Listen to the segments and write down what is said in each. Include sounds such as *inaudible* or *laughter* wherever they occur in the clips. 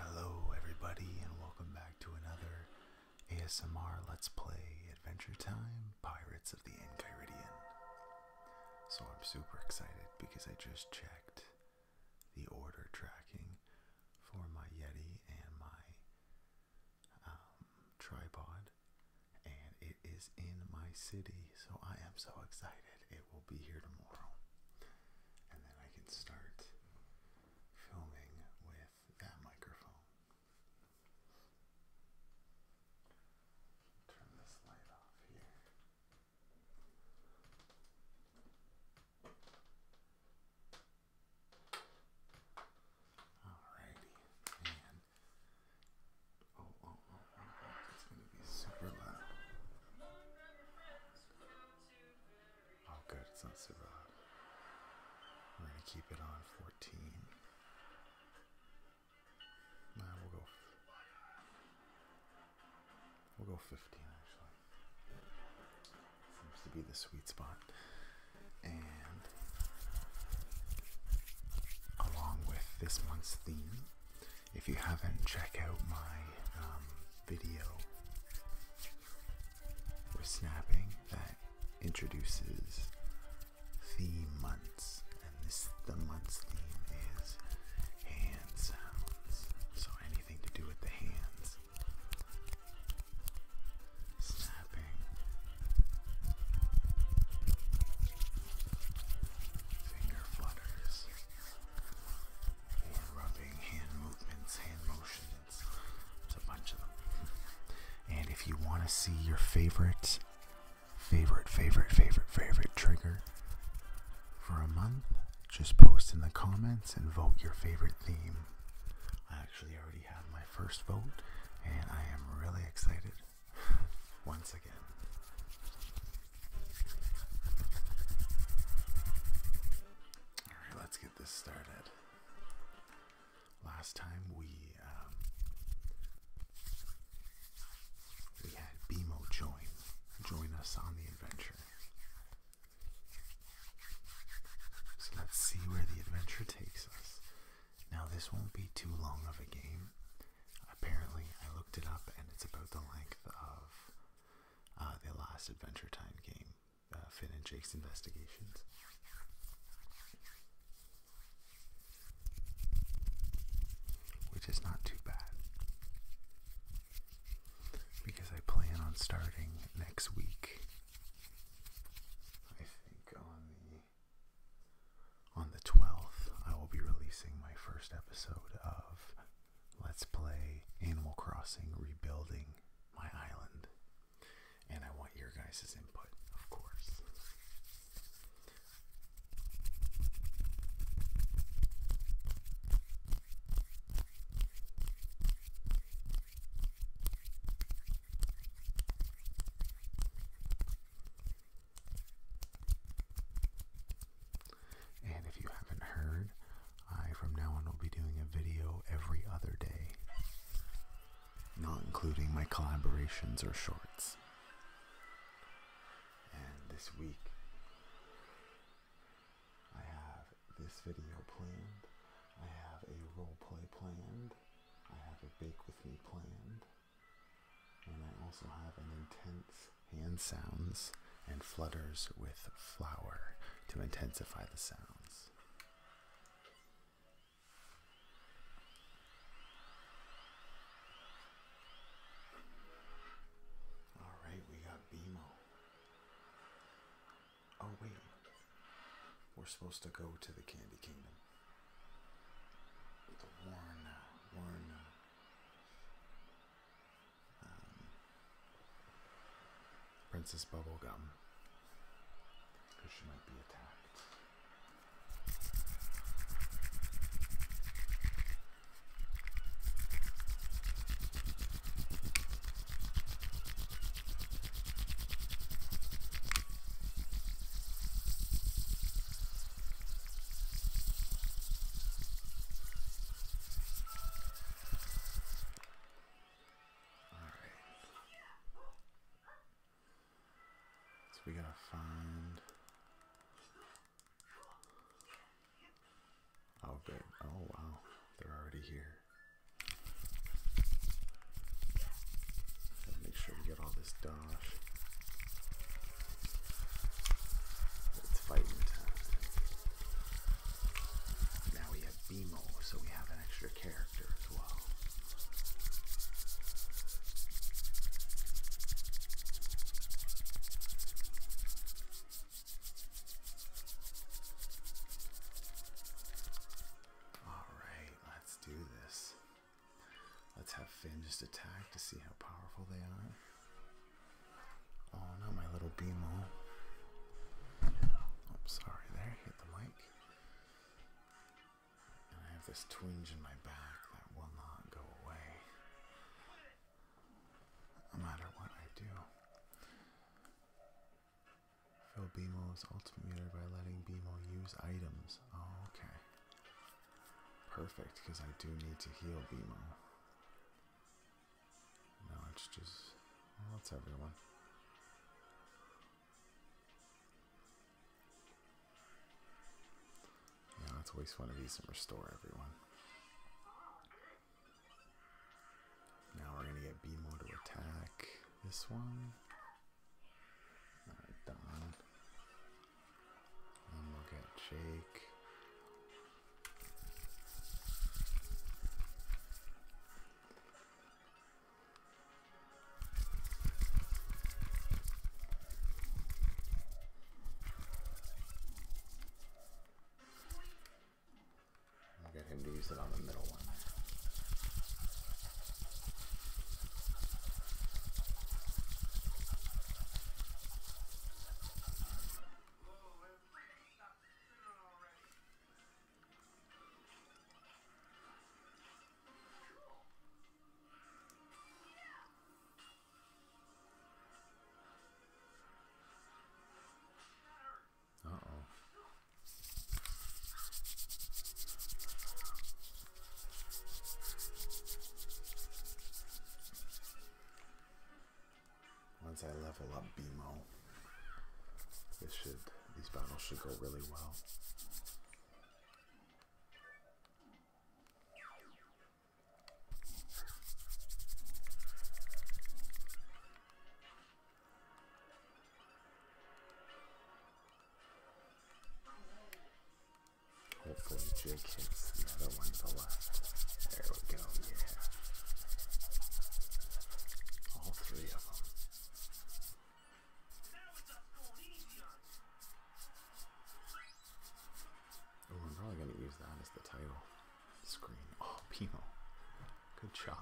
Hello, everybody, and welcome back to another ASMR Let's Play Adventure Time Pirates of the Enchiridion. So, I'm super excited because I just checked the order tracking for my Yeti and my um, tripod, and it is in my city, so I am so excited. It will be here tomorrow, and then I can start filming with that microphone. Turn this light off here. Alrighty, man. Oh, oh, oh, oh, oh. it's gonna be super loud. Oh, good, it's not super loud. we keep it on 14. Nah, we'll go. We'll go 15 actually seems to be the sweet spot. And along with this month's theme, if you haven't, checked out my um, video for snapping that introduces theme months. And this the month's theme is hand sounds. So anything to do with the hands snapping. Finger flutters, hand rubbing, hand movements, hand motions. It's a bunch of them. And if you want to see your favorite, favorite, favorite, favorite, favorite trigger for a month, just post in the comments and vote your favorite theme. I actually already have my first vote, and I am really excited *laughs* once again. let's get this started. Last time we um, we had BMO join join us on the adventure. So let's see where the adventure takes us. Now, this won't be too long of a game. Apparently, I looked it up and it's about the length of uh, the last Adventure Time game, uh, Finn and Jake's Investigations. Which is not too bad. Because I plan on starting next week I think on the on the 12th I will be releasing my first episode of Let's Play Animal Crossing Rebuilding My Island. And I want your guys' input, of course. And if you haven't heard, I from now on will be doing a video every other day, not including my collaborations or shorts. And this week, I have this video planned. I have a role play planned. I have a bake with me planned. And I also have an intense hand sounds and flutters with flour to intensify the sounds. All right, we got BMO. Oh, wait. We're supposed to go to the Candy Kingdom. The Warren, uh, Warren, uh, um, Princess Bubblegum. Because she might be attacked we gotta find. Oh, good. Oh, wow. They're already here make sure we get all this dodge. It's fighting time. Now we have Beemo, so we have an extra character as well. Alright, let's do this. Let's have Finn just attack to see how powerful they are. Oh, not my little BMO. Oh, sorry there, hit the mic. And I have this twinge in my back that will not go away. No matter what I do. Fill BMO's ultimate by letting BMO use items. Oh, okay. Perfect, because I do need to heal BMO. No, it's just... Well, it's everyone. Yeah, let's waste one of these and restore everyone. Now we're gonna get BMO to attack this one. Alright, Don. we'll get Jake. I'll get him to use it on the middle one. Once I level up BMO, this should these battles should go really well. Hopefully Jake hits the other one to left. There we go, yeah. All three of them. Oh, I'm probably going to use that as the title screen. Oh, Pino. Good job.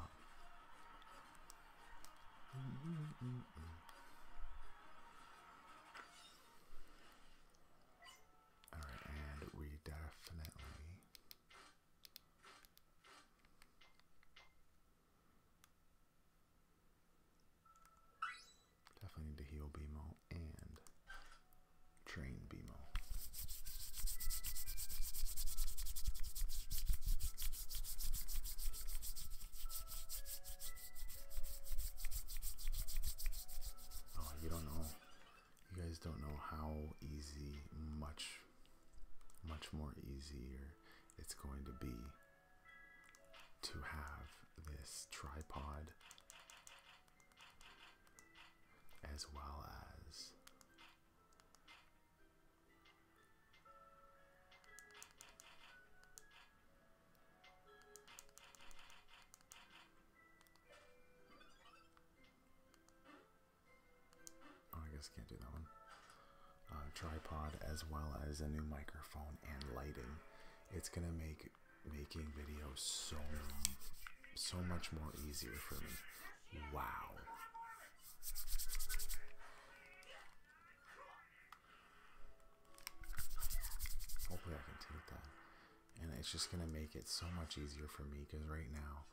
All right, and we definitely definitely need to heal Bemo and train Bemo. Oh, you don't know. You guys don't know how easy, much, much more easier it's going to be to have this tripod as well as Oh, I guess can't do that one. Uh, tripod as well as a new microphone and lighting. It's gonna make making videos so so much more easier for me. Wow. Hopefully I can take that. And it's just going to make it so much easier for me because right now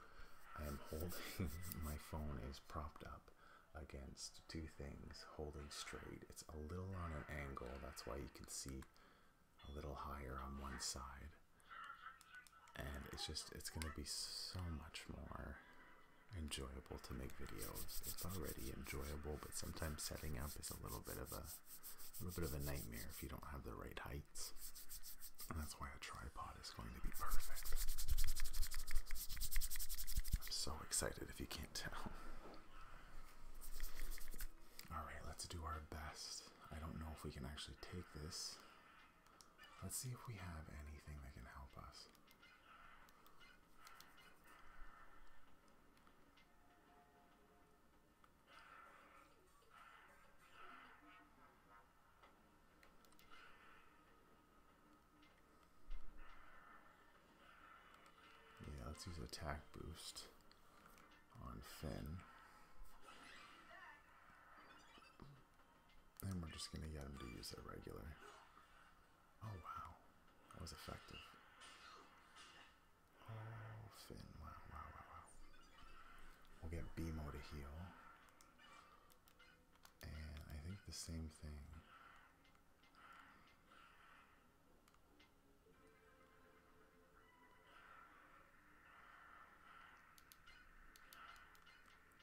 I'm holding, *laughs* my phone is propped up against two things holding straight. It's a little on an angle, that's why you can see a little higher on one side. And it's just, it's going to be so much more enjoyable to make videos. It's already enjoyable, but sometimes setting up is a little bit of a, little bit of a nightmare if you don't have the right heights. that's why a tripod is going to be perfect. I'm so excited if you can't *laughs* tell. All right, let's do our best. I don't know if we can actually take this. Let's see if we have anything that can help us. Yeah, let's use attack boost on Finn. And we're just going to get him to use a regular. Oh, wow. That was effective. Oh, Finn. Wow, wow, wow, wow. We'll get Bimo to heal. And I think the same thing.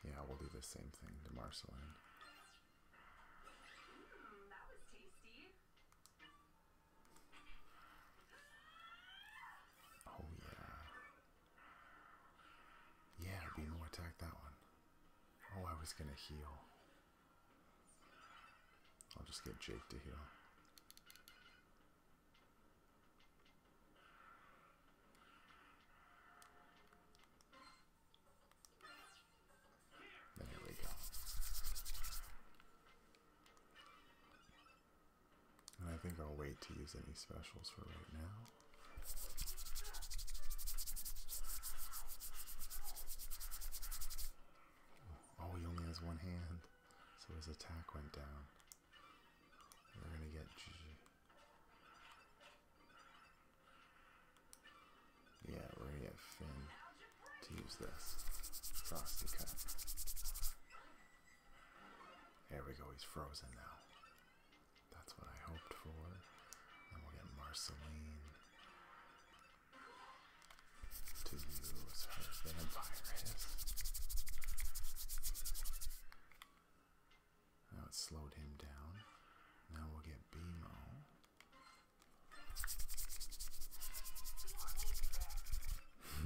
Yeah, we'll do the same thing to Marceline. Oh yeah. Yeah, Beano attack that one. Oh, I was gonna heal. I'll just get Jake to heal. There we go. I think I'll wait to use any specials for right now. Oh, he only has one hand, so his attack went down. We're gonna get yeah, we're gonna get Finn to use this. Frosty Cup. There we go, he's frozen now. That's what I hoped for. Then we'll get Marceline to use her vampire his. Now it slowed him down. Now we'll get BMO.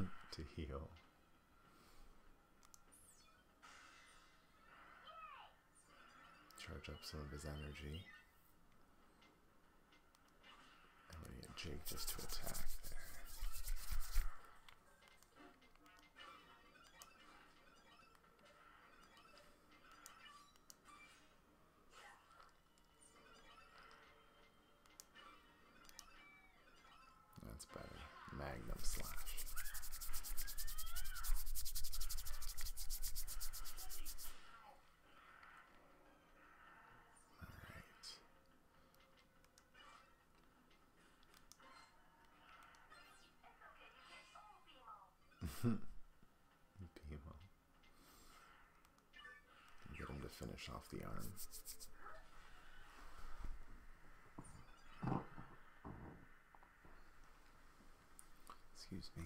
*laughs* to heal. Charge up some of his energy. And we get Jake just to attack there. That's better. Magnum Slash. All right. Beemo. Get him to finish off the arm. Excuse me.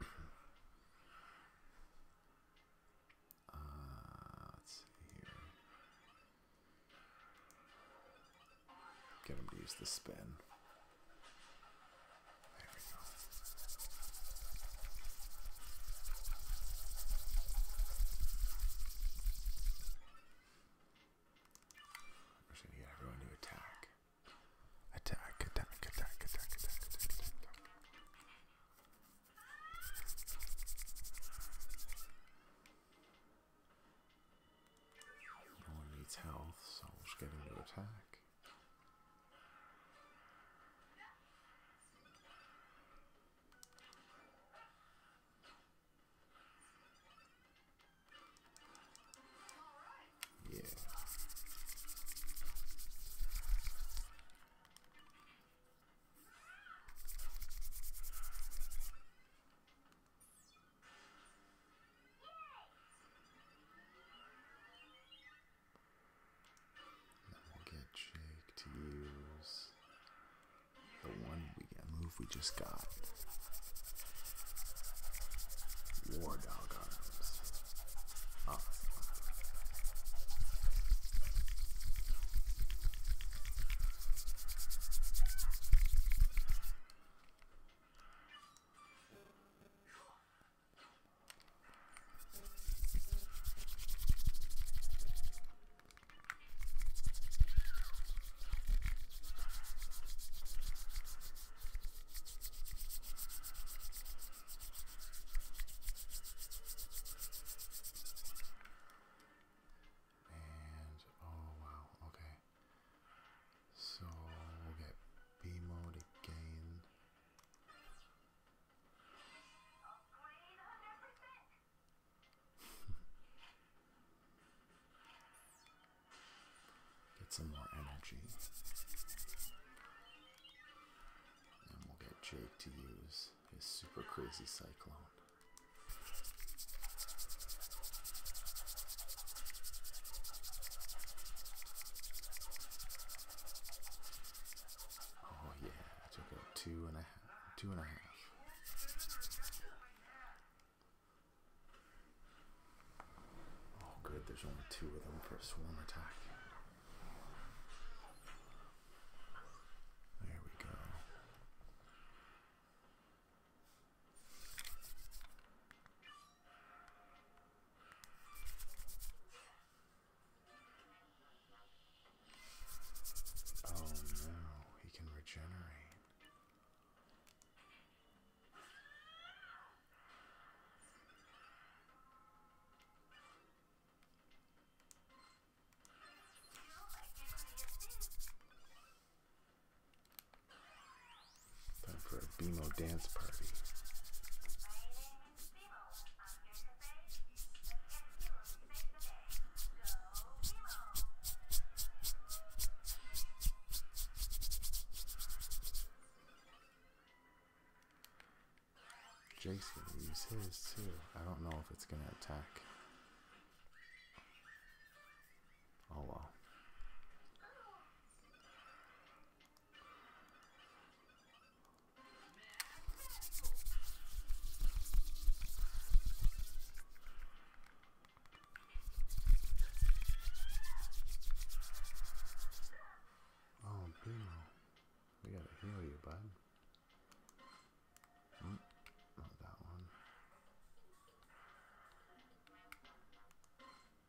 *clears throat* Uh, let's see here. Get him to use the spin. we go. gonna get everyone to attack, attack, attack, attack, attack, attack. attack. No needs health, so we'll just get little attack. Yeah. Then we'll get Jake to use the one we move we just got. War dog arms. Up. And oh wow, okay. So we'll get B mode again. *laughs* get some more energy. And we'll get Jake to use his super crazy cyclone. Oh yeah, I took out two and a half, two and a half. Oh good, there's only two of them for a swarm attack. There we go. Oh no, he can regenerate. Time for a BMO dance party. Jake's gonna use his too. I don't know if it's gonna attack. Oh wow! Oh, Primo. We gotta heal you, bud. Hmm, not that one.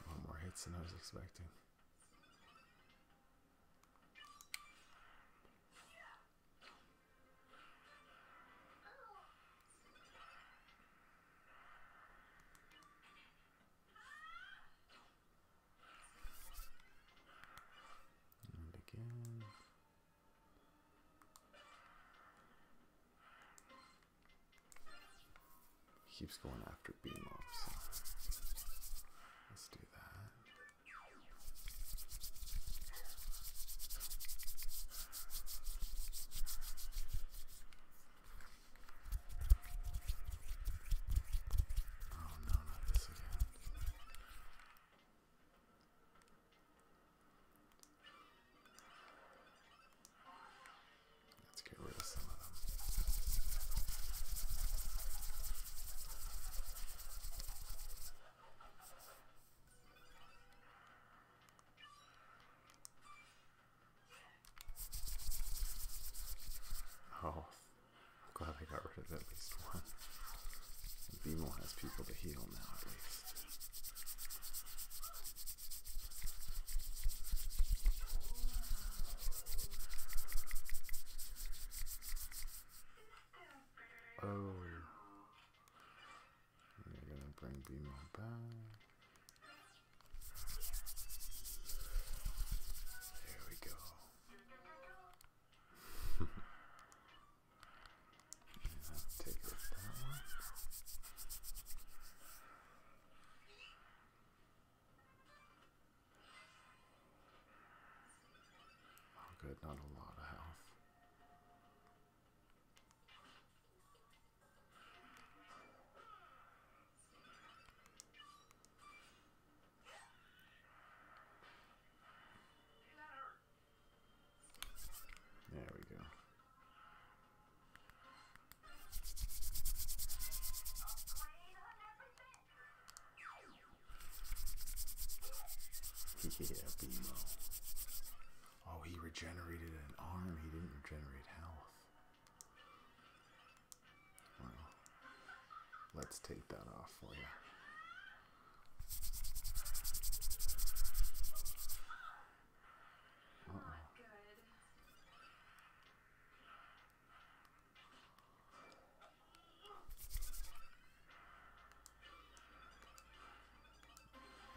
Oh, more hits than I was expecting. And again keeps going after beam ops. Let's do that. Oh no, not this again. Let's get rid of some of them. Oh, I'm glad I got rid of at least one. Bimo has people to heal now, at least. Oh. You're gonna bring Beamer back. There we go. take off that one. Oh, good, not a lot of health. There we go yeah, Bimo. Oh, he regenerated an arm. He didn't regenerate health. Well, let's take that off for you. Uh -oh.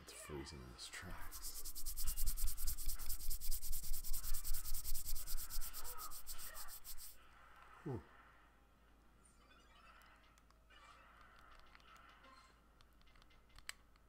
It's freezing in its tracks. Ooh.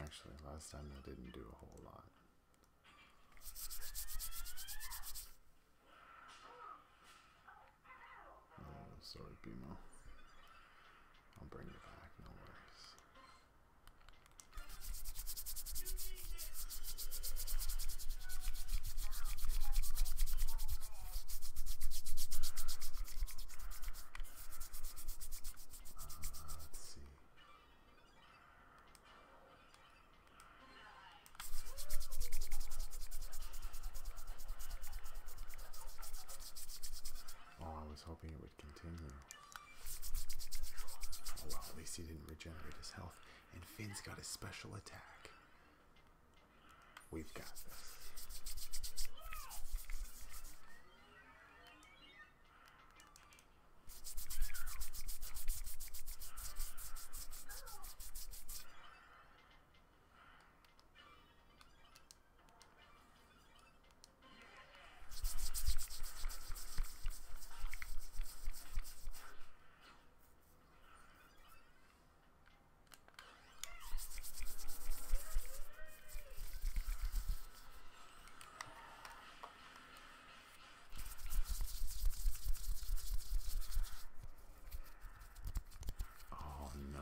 Actually, last time I didn't do a whole lot. Oh, sorry, Bimo. I'll bring you back, no worries. Uh, oh, hoping it would continue well, at least he didn't regenerate his health. And Finn's got a special attack. We've got this. Oh no,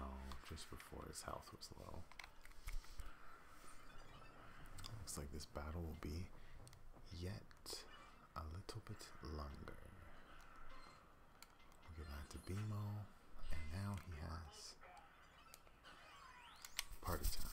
just before his health was low. Looks like this battle will be yet a little bit longer. we get back to Bimo, and now he has party time.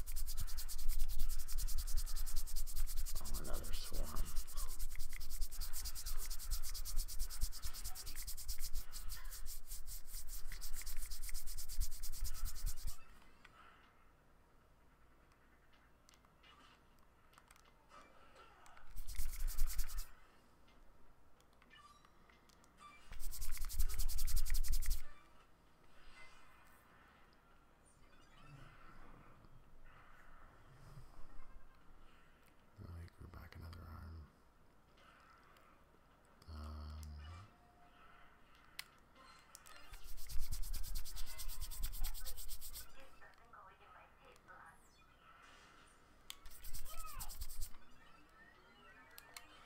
Oh, another swarm. Oh, he grew back another arm. Um,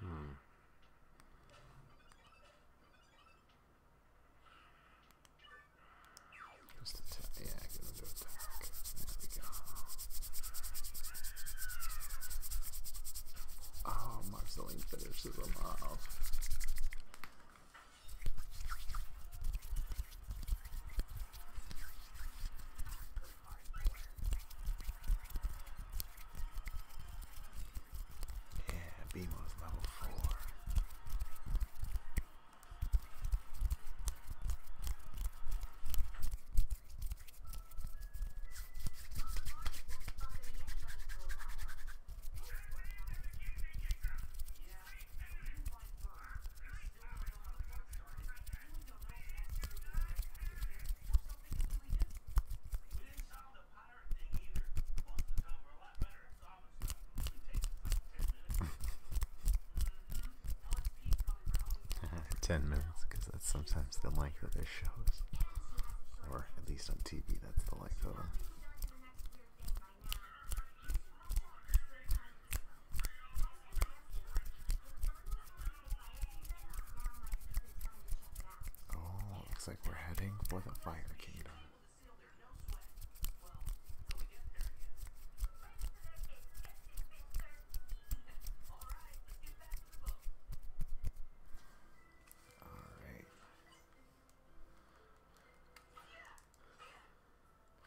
Hmm. Yeah, get attack. There we go. Oh, Marceline finishes him off. Yeah, Beam was level four. *laughs* 10 minutes because that's sometimes the length of their shows. Or at least on TV, that's the length of them. Oh, looks like we're heading for the Fire Kingdom. Alright.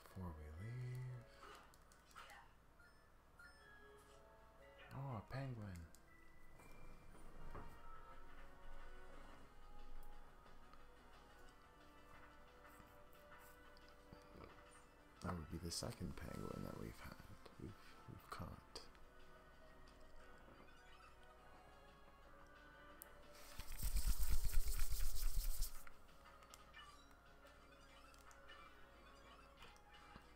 Before we leave. Oh, penguin. That would be the second penguin that we've had. We've, we've caught.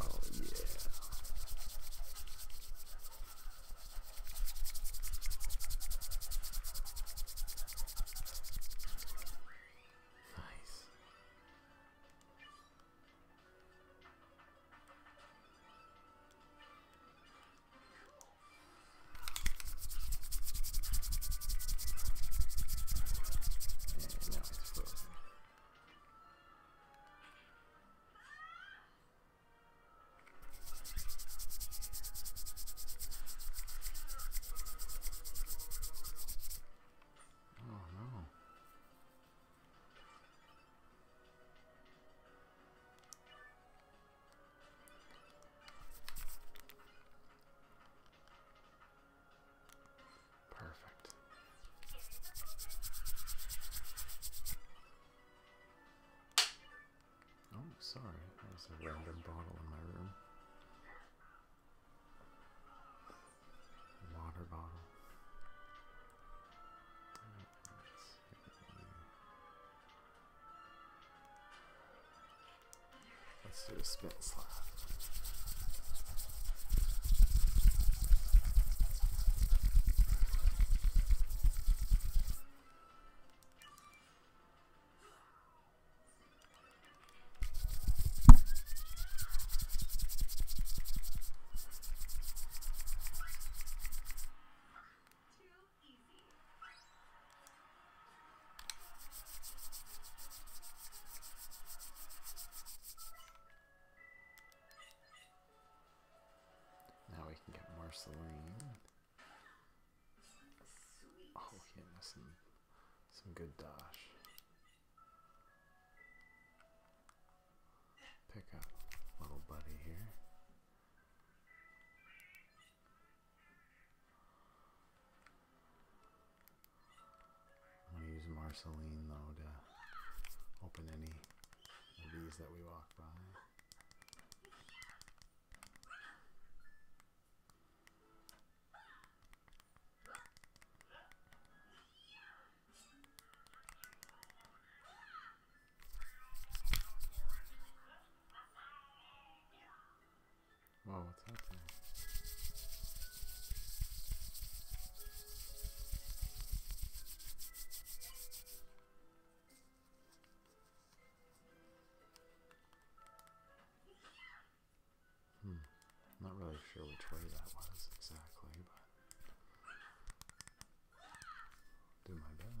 Oh, yeah. Nice. And now it's frozen. Oh no. Perfect. Oh, sorry, there's a random bottle in my room. Water bottle. Let's do a spin slide. Now we can get Marceline. Oh, yeah, some, some good dash. Pick up little buddy here. I'm going to use Marceline, though, to open any of these that we walk by. Oh, what's happening? Hmm. Not really sure which way that was exactly, but do my best. *laughs*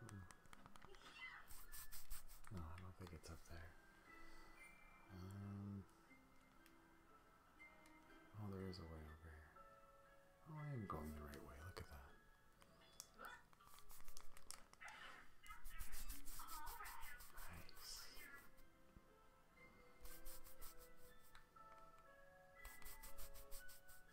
Hmm. No, I don't think it's up there. Um, oh, there is a way over here. Oh, I am going the right way. Look at that. Nice. Rockin'.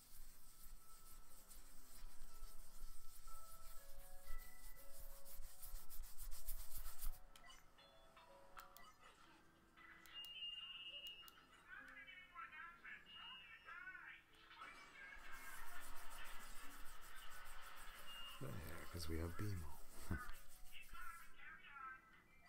Yeah, because we have BMO. *laughs*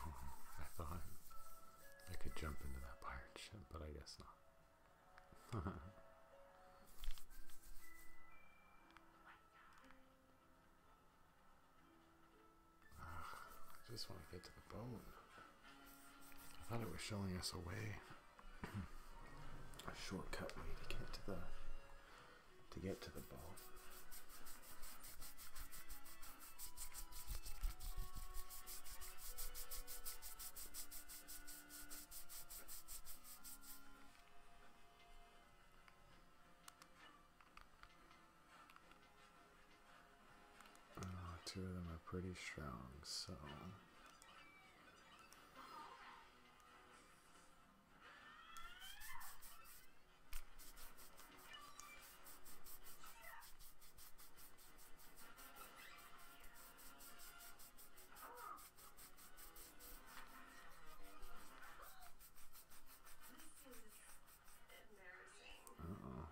Oh, I thought I could jump into that pirate but I guess not. *laughs* Oh I just want to get to the bone. I thought it was showing us a way, a shortcut way to get to the to get to the ball. Uh, two of them are pretty strong, so. Uh oh.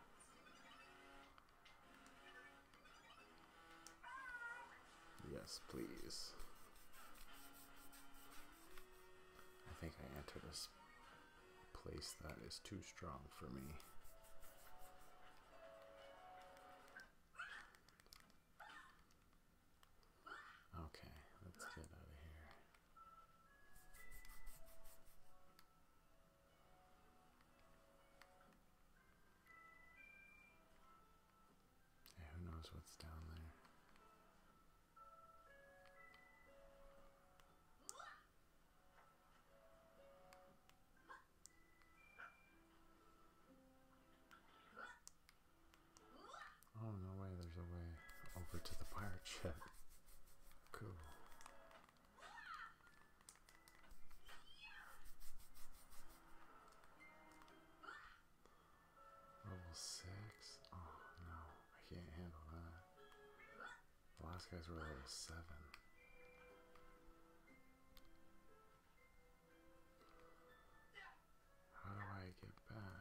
Yes, please. I think I entered a place that is too strong for me. Okay, let's get out of here who knows what's down there? Oh, no way, there's a way over to the pirate ship. Cool. Level 6? Oh no, I can't handle that. The last guys were level 7. How do I get back?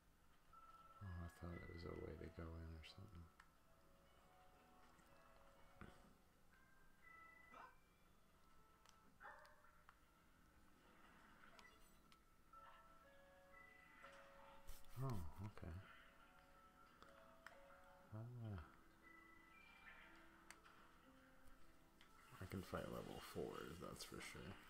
Oh, I thought it was a way to go in or something. Oh, okay. Uh, I can fight level 4s, that's for sure.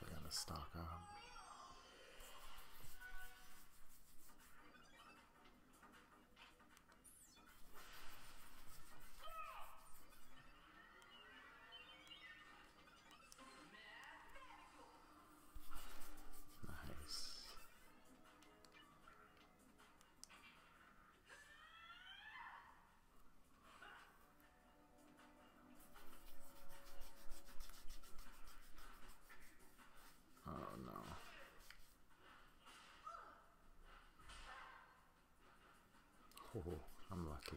Definitely gonna stock up. Nice. Oh no. Oh, I'm lucky.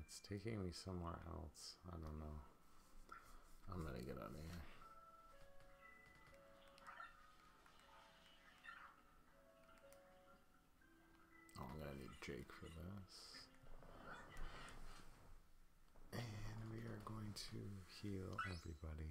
it's taking me somewhere else. I don't know. I'm gonna get out of here. Oh, I'm gonna need Jake for this. And we are going to heal everybody.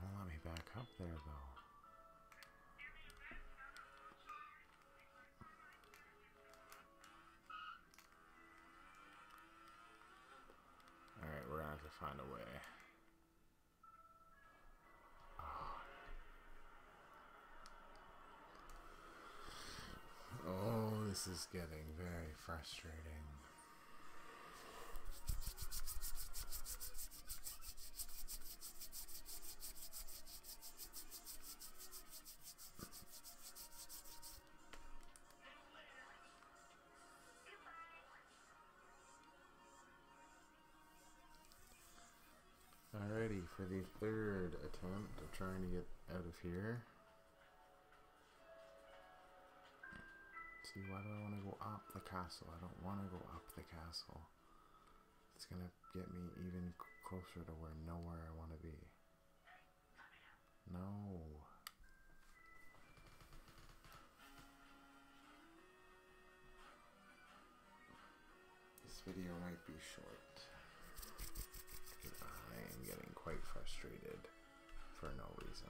Won't let me back up there though. Alright, we're gonna have to find a way. Ah. Oh, this is getting very frustrating. Alrighty, for the third attempt of trying to get out of here. see, why do I want to go up the castle? I don't want to go up the castle. It's going to get me even closer to where nowhere I want to be. No. This video might be short. I am getting quite frustrated for no reason.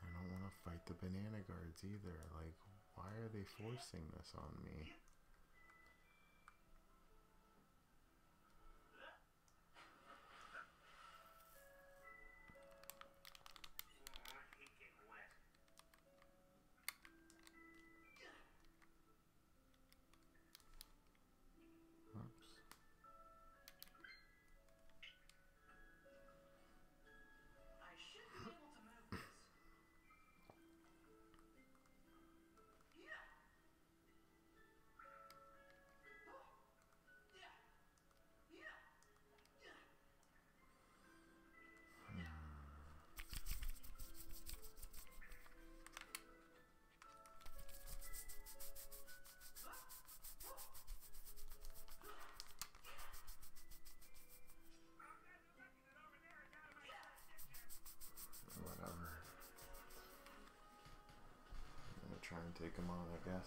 I don't want to fight the banana guards either. Like, why are they forcing this on me? Oops. I should be able to move this. Yeah. Oh. Yeah. Yeah. Yeah. Whatever. I'm gonna try and take him I guess.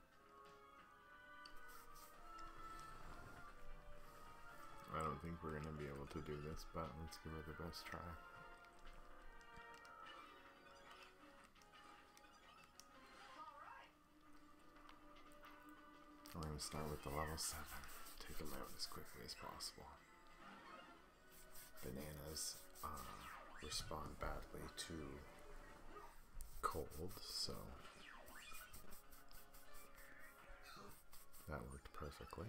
I don't think we're gonna be able to do this, but let's give it the best try. We're gonna start with the level 7. Take them out as quickly as possible. Bananas um, respond badly to cold, so that worked perfectly.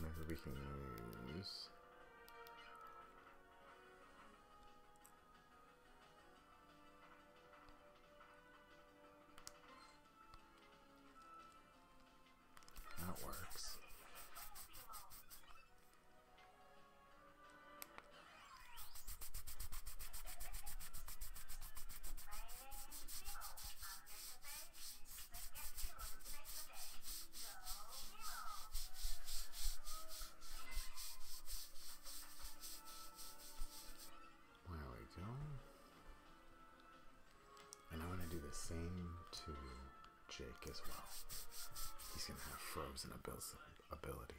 Maybe we can use that works. There we go. And I'm to do the same to Jake as well. He's gonna have frozen ability.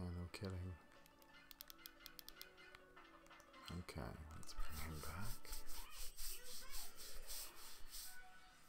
Yeah, no kidding. Okay, let's bring him back.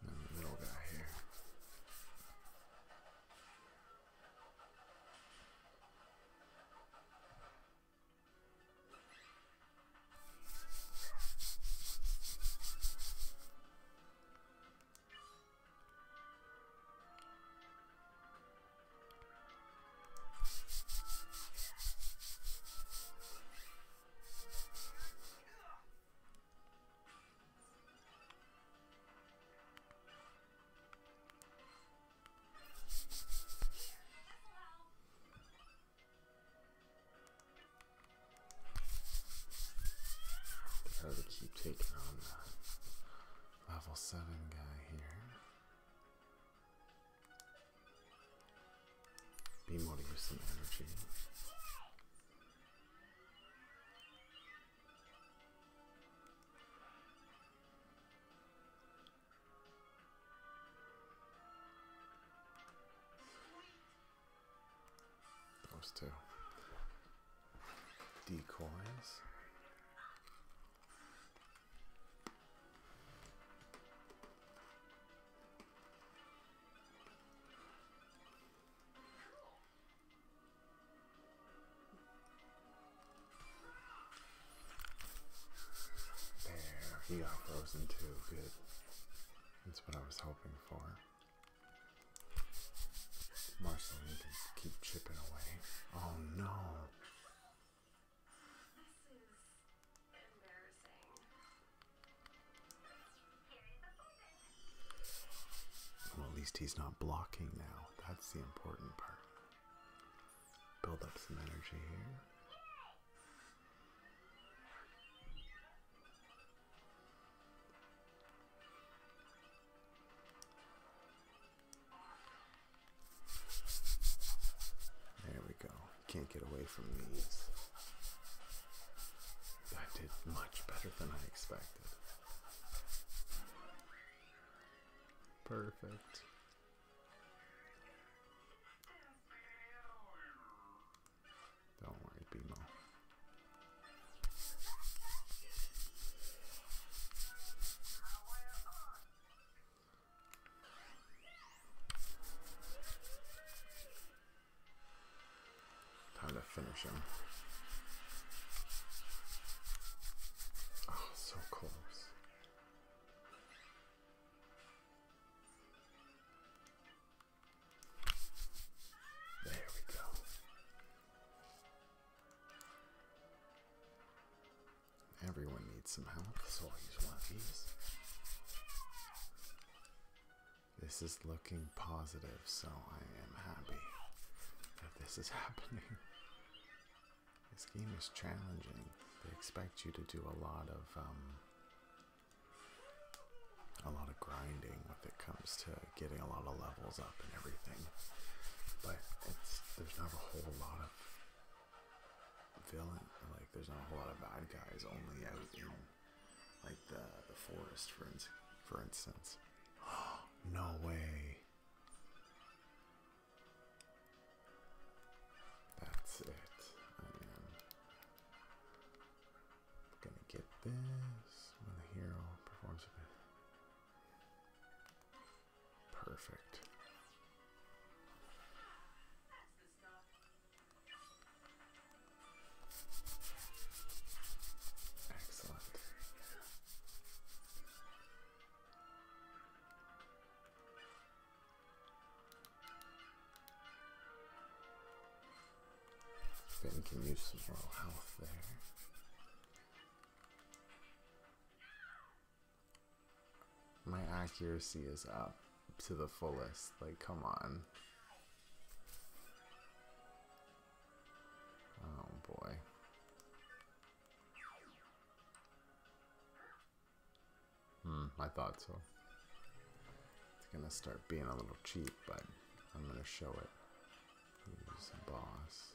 And then the middle guy here. Gotta keep taking on the level seven guy here. Be more to some energy. Those two decoys. There, he got frozen too. Good. That's what I was hoping for. Marceline keep chipping away. Oh no! Well, at least he's not blocking now. That's the important part. Build up some energy here. There we go. Can't get away from these. I did much better than I expected. Perfect. Don't worry, Bimo. Time to finish him. Oh, so close. There we go. Everyone needs some help, so I'll use one of these. This is looking positive, so I am happy that this is *laughs* happening. This game is challenging. They expect you to do a lot of um, a lot of grinding when it comes to getting a lot of levels up and everything. But there's not a whole lot of villain. Like, there's not a whole lot of bad guys, only out in like the, the forest, for, for instance. *gasps* no way. That's it. I am gonna get this when the hero performs a Perfect. Excellent. Then can use some moral health there. My accuracy is up to the fullest. Like, come on. Oh boy. Hmm, I thought so. It's gonna start being a little cheap, but I'm gonna show it. Who's boss?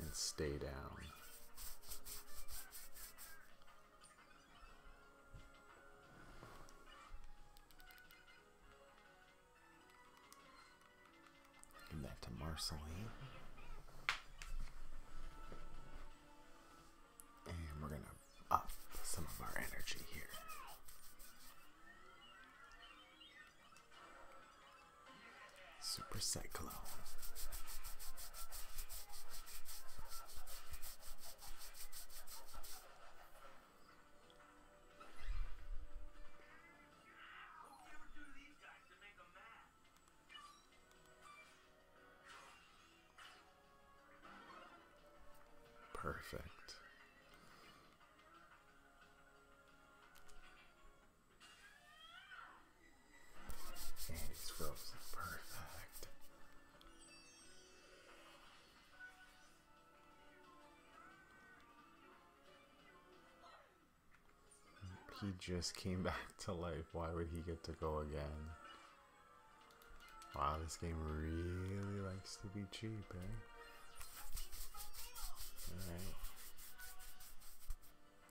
and stay down. Give that to Marceline. And we're going to up some of our energy here. Super Cyclone. Perfect. And it's frozen. Perfect. He just came *laughs* back to life. Why would he get to go again? Wow, this game really likes to be cheap, eh? Alright.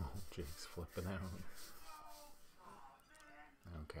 Oh, Jake's flipping out. Okay.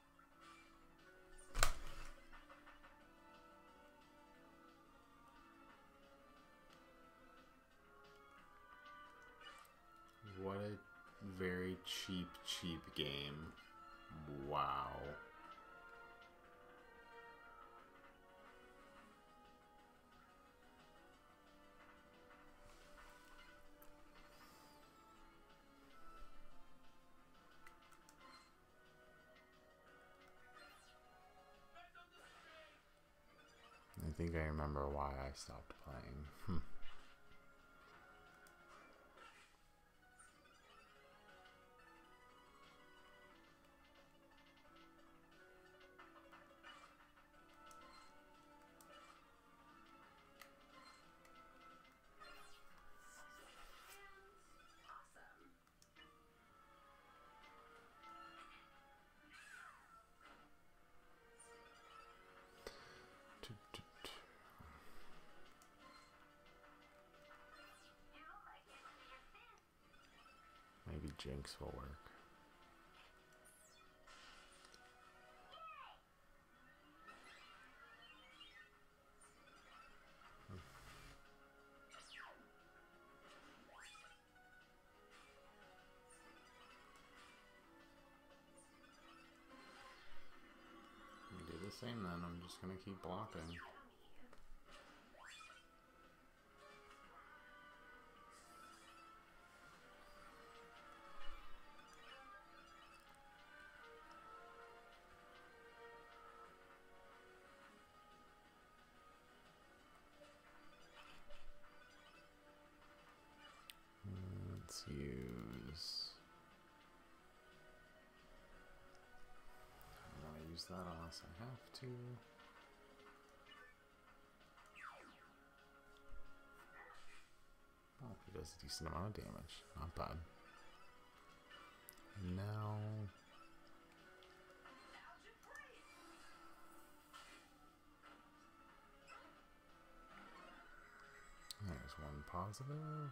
What a very cheap, cheap game. Wow. I think I remember why I stopped playing. Hmm. Maybe Jinx will work. Hmm. Do the same then, I'm just gonna keep blocking. Let's use. I don't want to use that unless I have to. Oh, he does a decent amount of damage. Not bad. Now... There's one positive.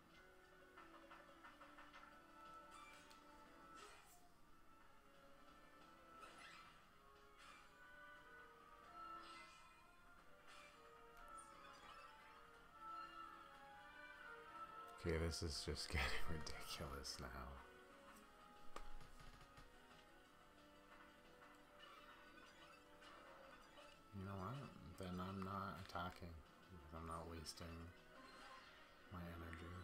Okay, this is just *laughs* getting ridiculous now. You know what? Then I'm not attacking. I'm not wasting my energy.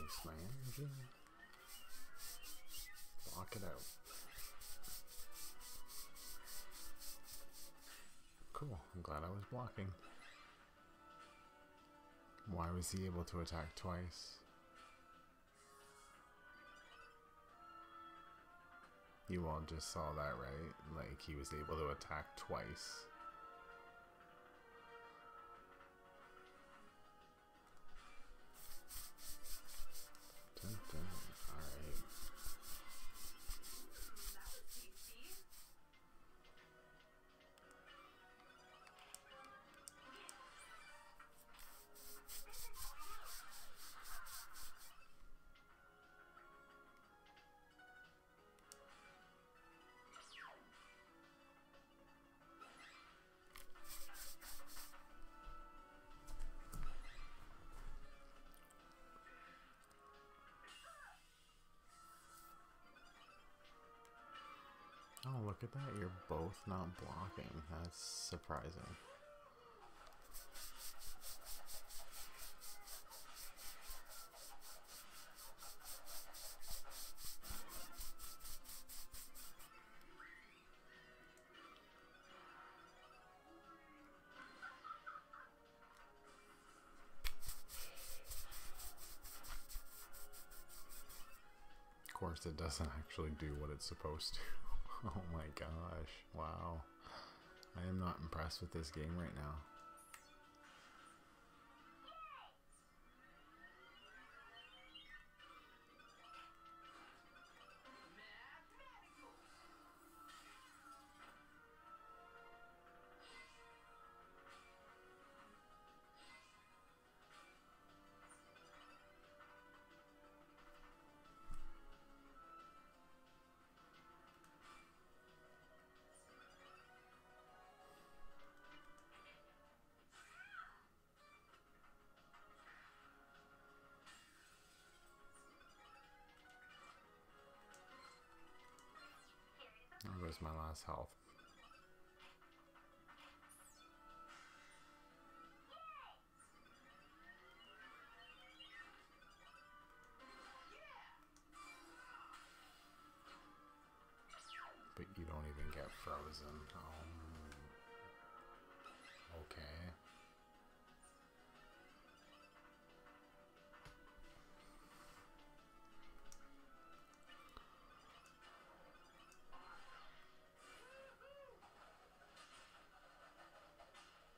Waste my energy. Block it out. Cool, I'm glad I was blocking. Why was he able to attack twice? You all just saw that, right? Like, he was able to attack twice. All right. Oh, look at that. You're both not blocking. That's surprising. Of course, it doesn't actually do what it's supposed to. *laughs* oh my gosh, wow. I am not impressed with this game right now. There goes my last health. But you don't even get frozen. Oh. okay.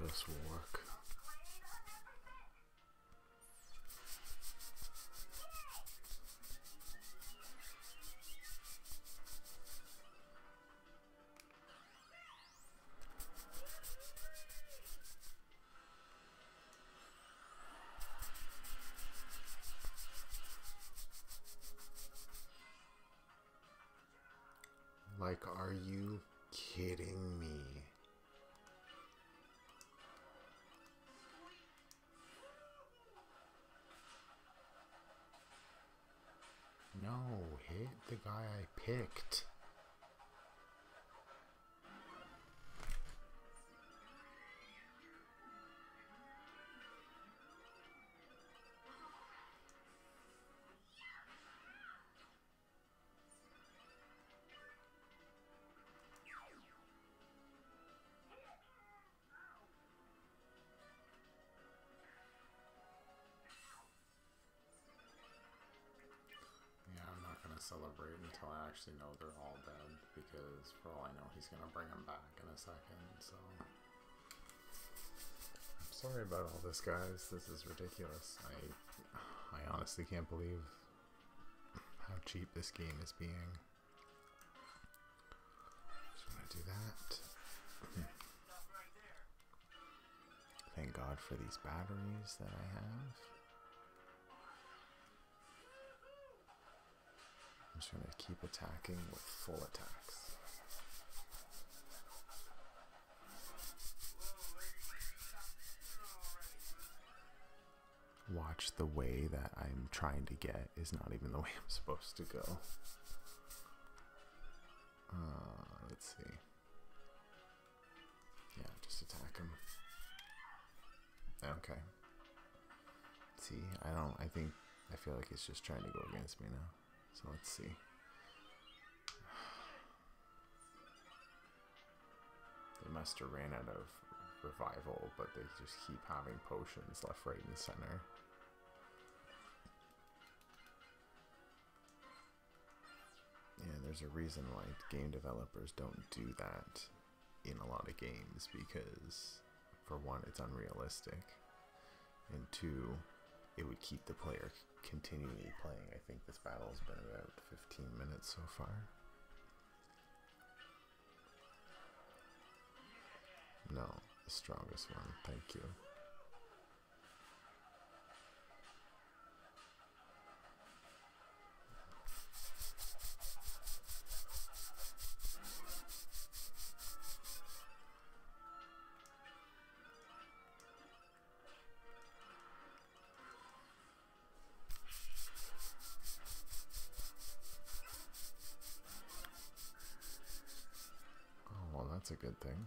This will work. Like, are you kidding me? No, hit the guy I picked. Yeah, I'm not going to celebrate until I actually know they're all dead because for all I know he's going to bring them back in a second, so... I'm sorry about all this, guys. This is ridiculous. I, I honestly can't believe how cheap this game is being. Just want to do that. Hmm. Thank God for these batteries that I have. I'm just going to keep attacking with full attacks. Watch the way that I'm trying to get is not even the way I'm supposed to go. Uh, let's see. Yeah, just attack him. Okay. See, I don't, I think, I feel like it's just trying to go against me now. So let's see. *sighs* They must have ran out of revival, but they just keep having potions left, right, and center. Yeah, there's a reason why game developers don't do that in a lot of games because, for one, it's unrealistic and two, it would keep the player continually playing. I think this battle has been about 15 minutes so far. No, the strongest one, thank you. Oh, well, that's a good thing.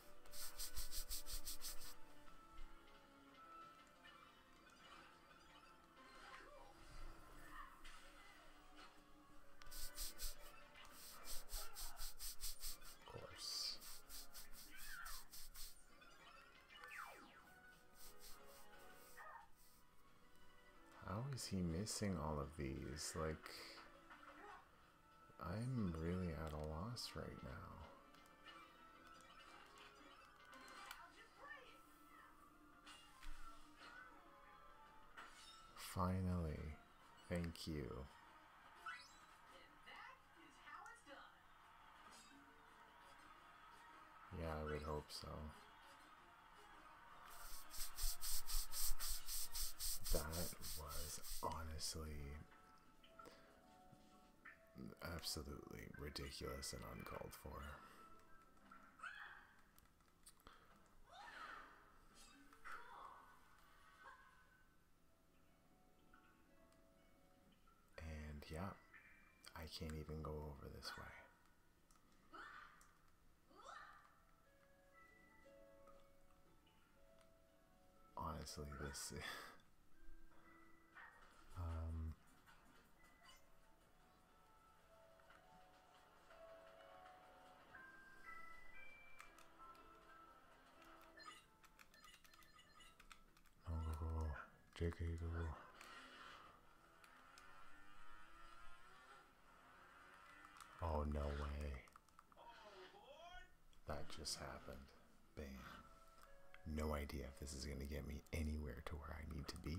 How is he missing all of these? Like, I'm really at a loss right now. Finally, thank you. Yeah, I would hope so. That was honestly absolutely ridiculous and uncalled for. And yeah, I can't even go over this way honestly, this. um, no, oh, go, JK, Oh, no way. That just happened. Bam. No idea if this is going to get me anywhere to where I need to be,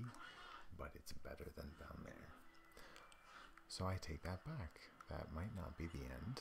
but it's better than down there. So I take that back. That might not be the end.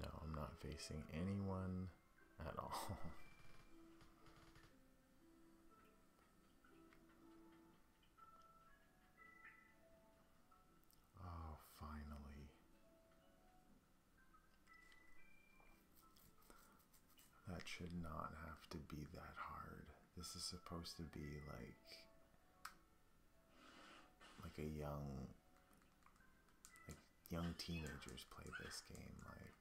No, I'm not facing anyone at all. *laughs* oh, finally. That should not have to be that hard. This is supposed to be like like a young like young teenagers play this game like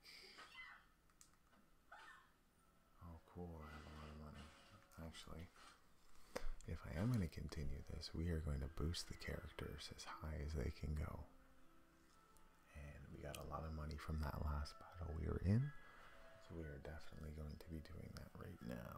oh cool I have a lot of money actually if I am going to continue this we are going to boost the characters as high as they can go and we got a lot of money from that last battle we were in so we are definitely going to be doing that right now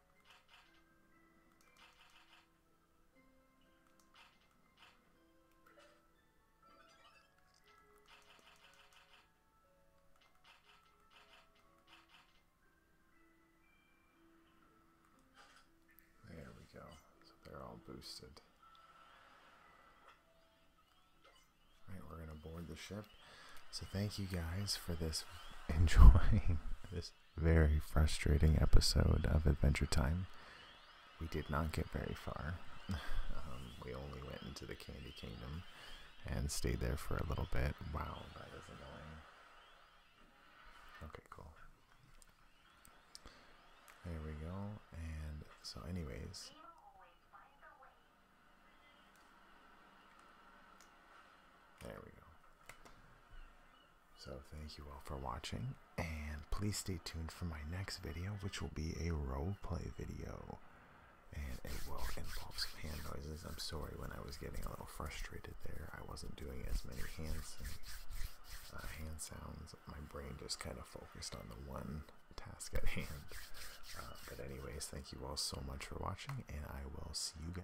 There we go. So they're all boosted. All right, we're gonna board the ship. So thank you guys for this *laughs* enjoying this very frustrating episode of Adventure Time. We did not get very far. *laughs* Um, we only went into the Candy Kingdom and stayed there for a little bit. Wow, that was annoying. Okay, cool. There we go. And so, anyways, There we go. So thank you all for watching, and please stay tuned for my next video, which will be a roleplay video. And it will involve some hand noises. I'm sorry when I was getting a little frustrated there. I wasn't doing as many hands and, uh, hand sounds. My brain just kind of focused on the one task at hand. Uh, but anyways, thank you all so much for watching, and I will see you guys.